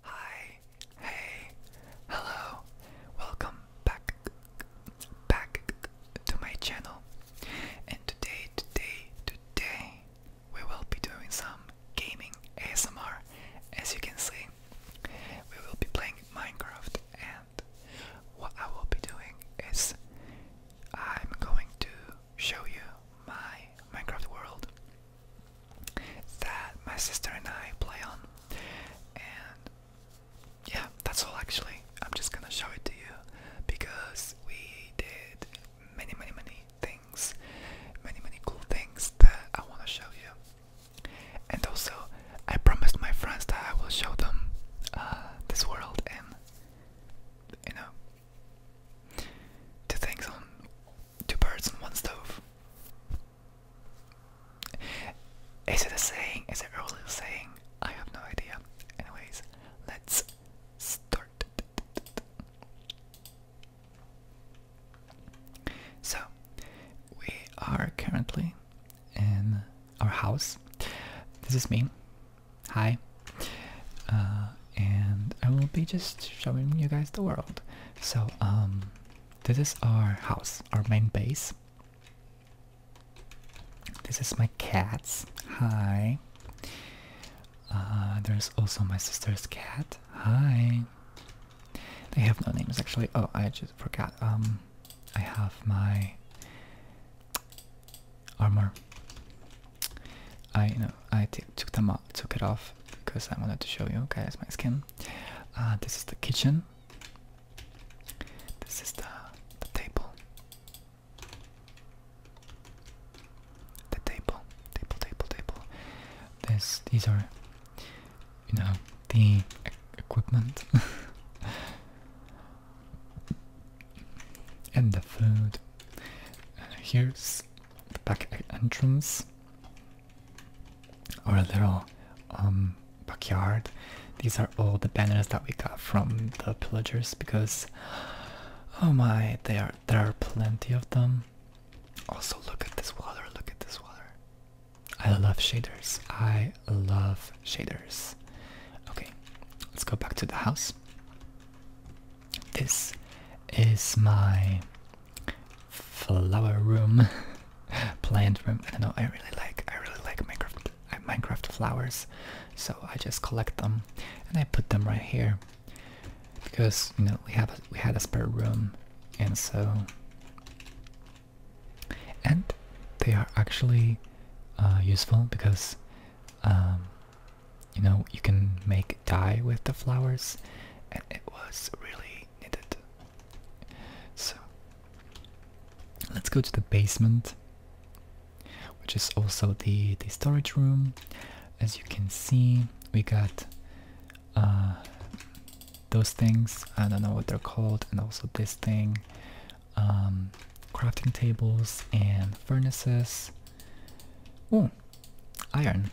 Hi, hey, hello, welcome back, back to my channel. And today, today, today, we will be doing some gaming ASMR. As you can see, we will be playing Minecraft, and what I will be doing is I'm going to show you my Minecraft world that my sister and I play on. And yeah, that's all actually. I'm just gonna show it to you because we did many, many, many things, many, many cool things that I wanna show you. And also, I promised my friends that I will show them uh, this world and you know, two things on two birds in one stove. Is it a saying? Is it really old saying? I have no idea. Anyways, let's start. So, we are currently in our house. This is me. Hi. Uh, and I will be just showing you guys the world. So, um, this is our house, our main base. This is my cats. Hi. Uh, there's also my sister's cat. Hi. They have no names actually. Oh, I just forgot. Um, I have my armor. I you know I took them off took it off because I wanted to show you guys my skin. Uh, this is the kitchen. This is the, table. The table, table, table, table. This, these are, you know, the equipment. and the food. here's the back entrance. Or a little um, backyard. These are all the banners that we got from the pillagers because, oh my, they there are plenty of them. Also, look at this water. Look at this water. I love shaders. I love shaders. Okay, let's go back to the house. This is my flower room, plant room. I don't know. I really like. I really like Minecraft. I Minecraft flowers, so I just collect them and I put them right here because you know we have we had a spare room, and so and they are actually uh, useful because um, you know you can make die with the flowers, and it was really needed. So let's go to the basement, which is also the the storage room. As you can see, we got uh, those things. I don't know what they're called, and also this thing. Um, crafting tables and furnaces iron.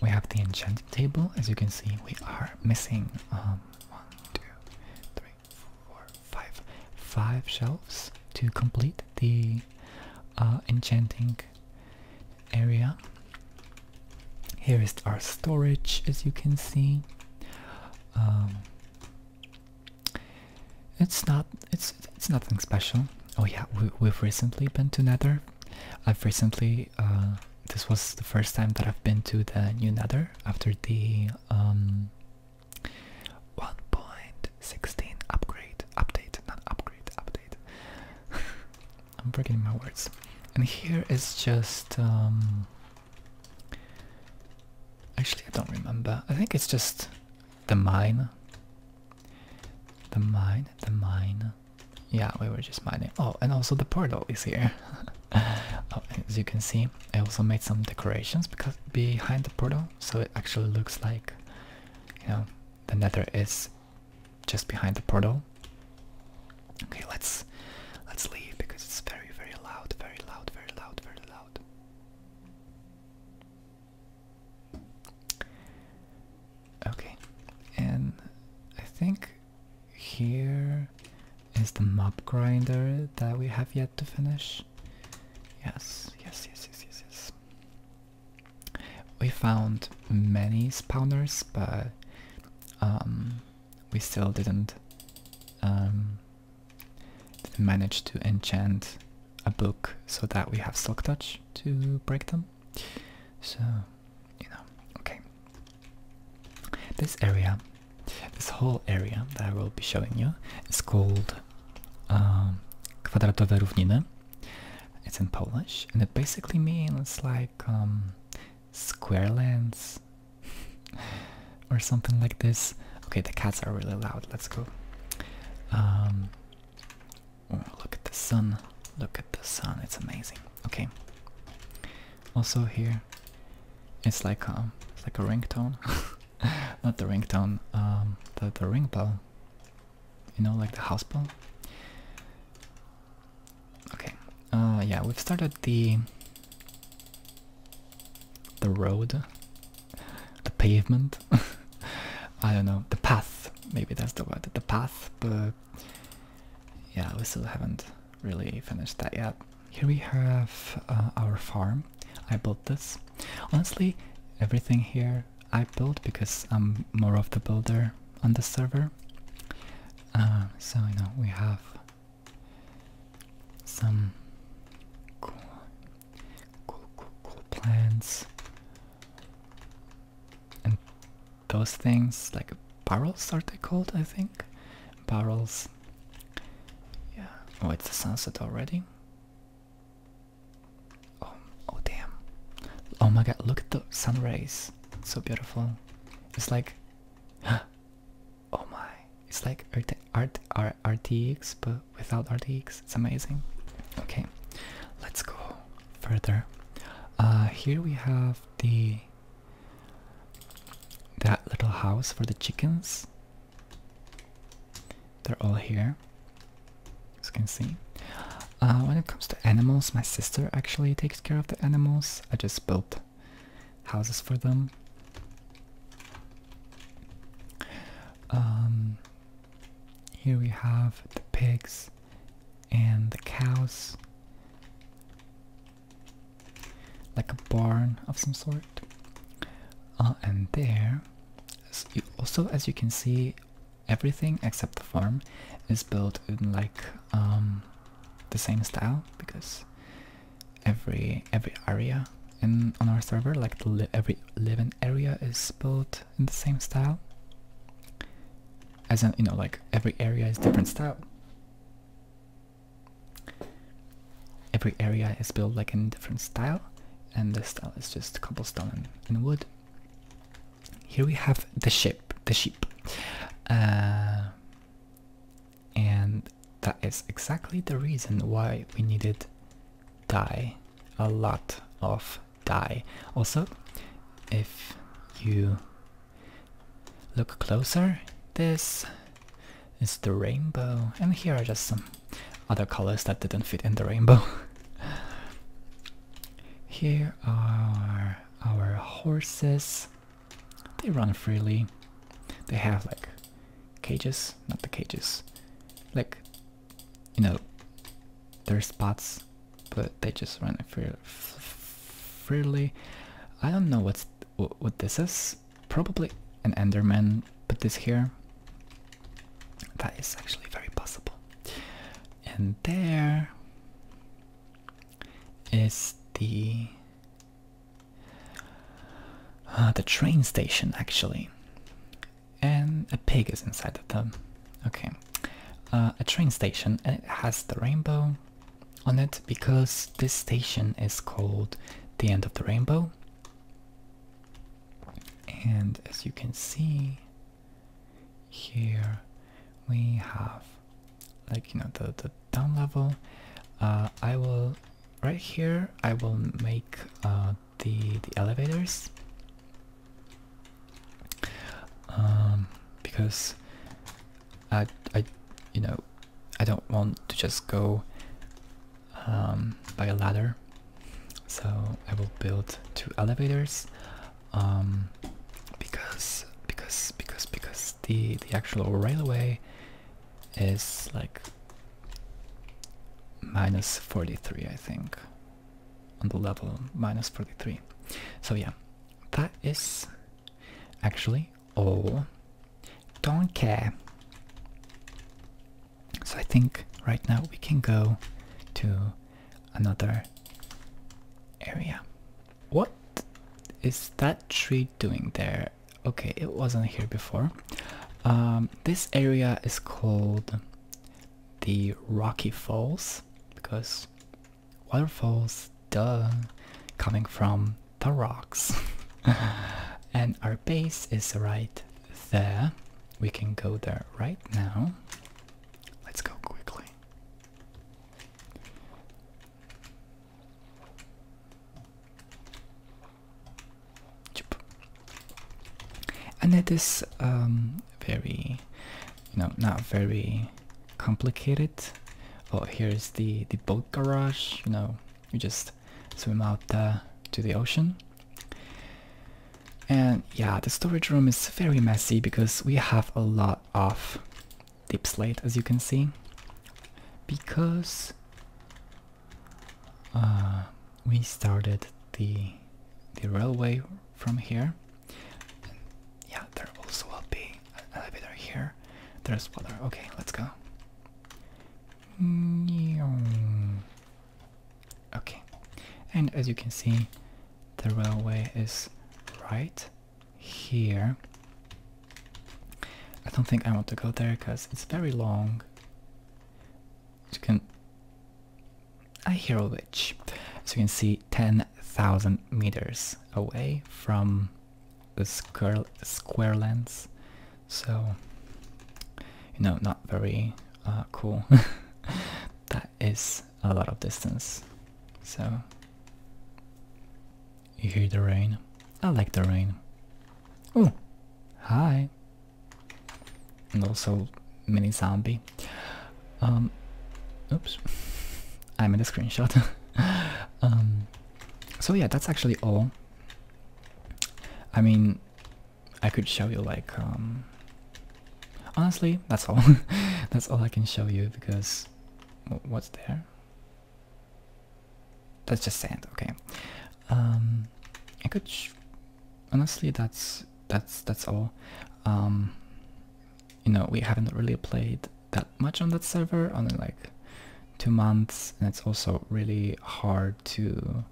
We have the enchanted table. As you can see, we are missing um, one, two, three, four, five, five shelves to complete the uh, enchanting area. Here is our storage, as you can see. Um, it's not it's it's nothing special. Oh yeah, we, we've recently been to Nether I've recently, uh, this was the first time that I've been to the new nether after the um, 1.16 upgrade, update, not upgrade, update. I'm forgetting my words. And here is just, um, actually I don't remember. I think it's just the mine. The mine, the mine yeah, we were just mining. Oh, and also the portal is here. Oh, as you can see, I also made some decorations because behind the portal, so it actually looks like, you know, the Nether is just behind the portal. Okay, let's let's leave because it's very, very loud, very loud, very loud, very loud. Okay, and I think here is the mob grinder that we have yet to finish. Yes, yes, yes, yes, yes, yes. We found many spawners, but um, we still didn't, um, didn't manage to enchant a book so that we have silk touch to break them. So, you know, okay. This area, this whole area that I will be showing you is called uh, Kwadratowe It's in Polish and it basically means like um, square lands or something like this. Okay, the cats are really loud. Let's go. Um, look at the sun. Look at the sun. It's amazing. Okay. Also here, it's like um, it's like a ringtone. Not the ringtone. Um, the the ring bell. You know, like the house bell. Okay. Uh, yeah, we've started the the road, the pavement. I don't know the path. Maybe that's the word. The path, but yeah, we still haven't really finished that yet. Here we have uh, our farm. I built this. Honestly, everything here I built because I'm more of the builder on the server. Uh, so you know we have some cool, cool, cool, cool plants and those things like barrels are they called I think barrels yeah oh it's the sunset already oh oh damn oh my god look at the sun rays so beautiful it's like oh my it's like Art. Art. R, RTX but without RTX it's amazing okay let's go further uh, here we have the that little house for the chickens. They're all here, as you can see. Uh, when it comes to animals, my sister actually takes care of the animals. I just built houses for them. Um, here we have the pigs and the cows. Like a barn of some sort. Uh, and there, also as you can see, everything except the farm is built in like um, the same style because every every area in on our server, like every living area, is built in the same style as in you know like every area is different style every area is built like in different style and this style is just cobblestone and, wood here we have the ship the sheep uh, and that is exactly the reason why we needed dye a lot of die. Also, if you look closer, this is the rainbow, and here are just some other colors that didn't fit in the rainbow. here are our horses. They run freely. They have like cages, not the cages, like you know, their spots but they just run freely. I don't know what's what this is. Probably an Enderman put this here. That is actually very possible. And there is the uh, the train station actually, and a pig is inside of them. Okay, uh, a train station and it has the rainbow on it because this station is called the end of the rainbow and as you can see here we have like you know the, the down level uh, I will right here I will make uh, the the elevators um, because I, I, you know, I don't want to just go um, by a ladder. So I will build two elevators, um, because because because because the the actual railway is like minus forty three, I think on the level minus 43. So yeah, that is actually all. Don't care. So I think right now we can go to another area. What is that tree doing there? Okay, it wasn't here before. Um, this area is called the Rocky Falls because waterfalls, duh, coming from the rocks. and our base is right there. We can go there right now. Let's go quickly. And it is um, very, you not very complicated. Oh, here's the the boat garage. You know, you just swim out uh, to the ocean. And yeah, the storage room is very messy because we have a lot of deep slate, as you can see, because uh, we started the the railway from here yeah, there also will be elevator here. There's water. Okay, let's go. Okay, and as you can see, the railway is right here. I don't think I want to go there because it's very long. You can I hear a witch. As you can see, 10,000 meters away from the square, square lens. So, you know, not very uh, cool. that is a lot of distance. So, you hear the rain. I like the rain. Oh, hi. And also mini zombie. Um, oops, I'm in a screenshot. um, so yeah, that's actually all. I mean, I could show you like um, honestly, that's all. that's all I can show you because what's there? That's just sand. Okay. Um, I could honestly that's that's that's all. Um, you know we haven't really played that much on that server only like two months and it's also really hard to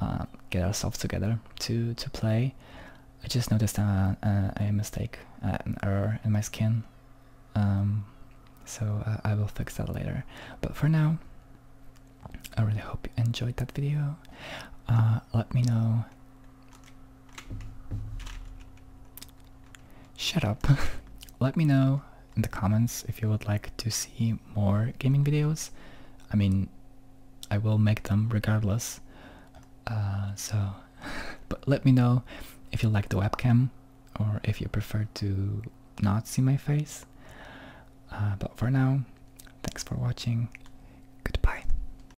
uh, get ourselves together to to play I just noticed uh, uh, a mistake an error in my skin um, so I will fix that later but for now I really hope you enjoyed that video let me know. Shut up. let me know in the comments if you would like to see more gaming videos. I mean, I will make them regardless. Uh, so, but let me know if you like the webcam or if you prefer to not see my face. Uh, but for now, thanks for watching. Goodbye.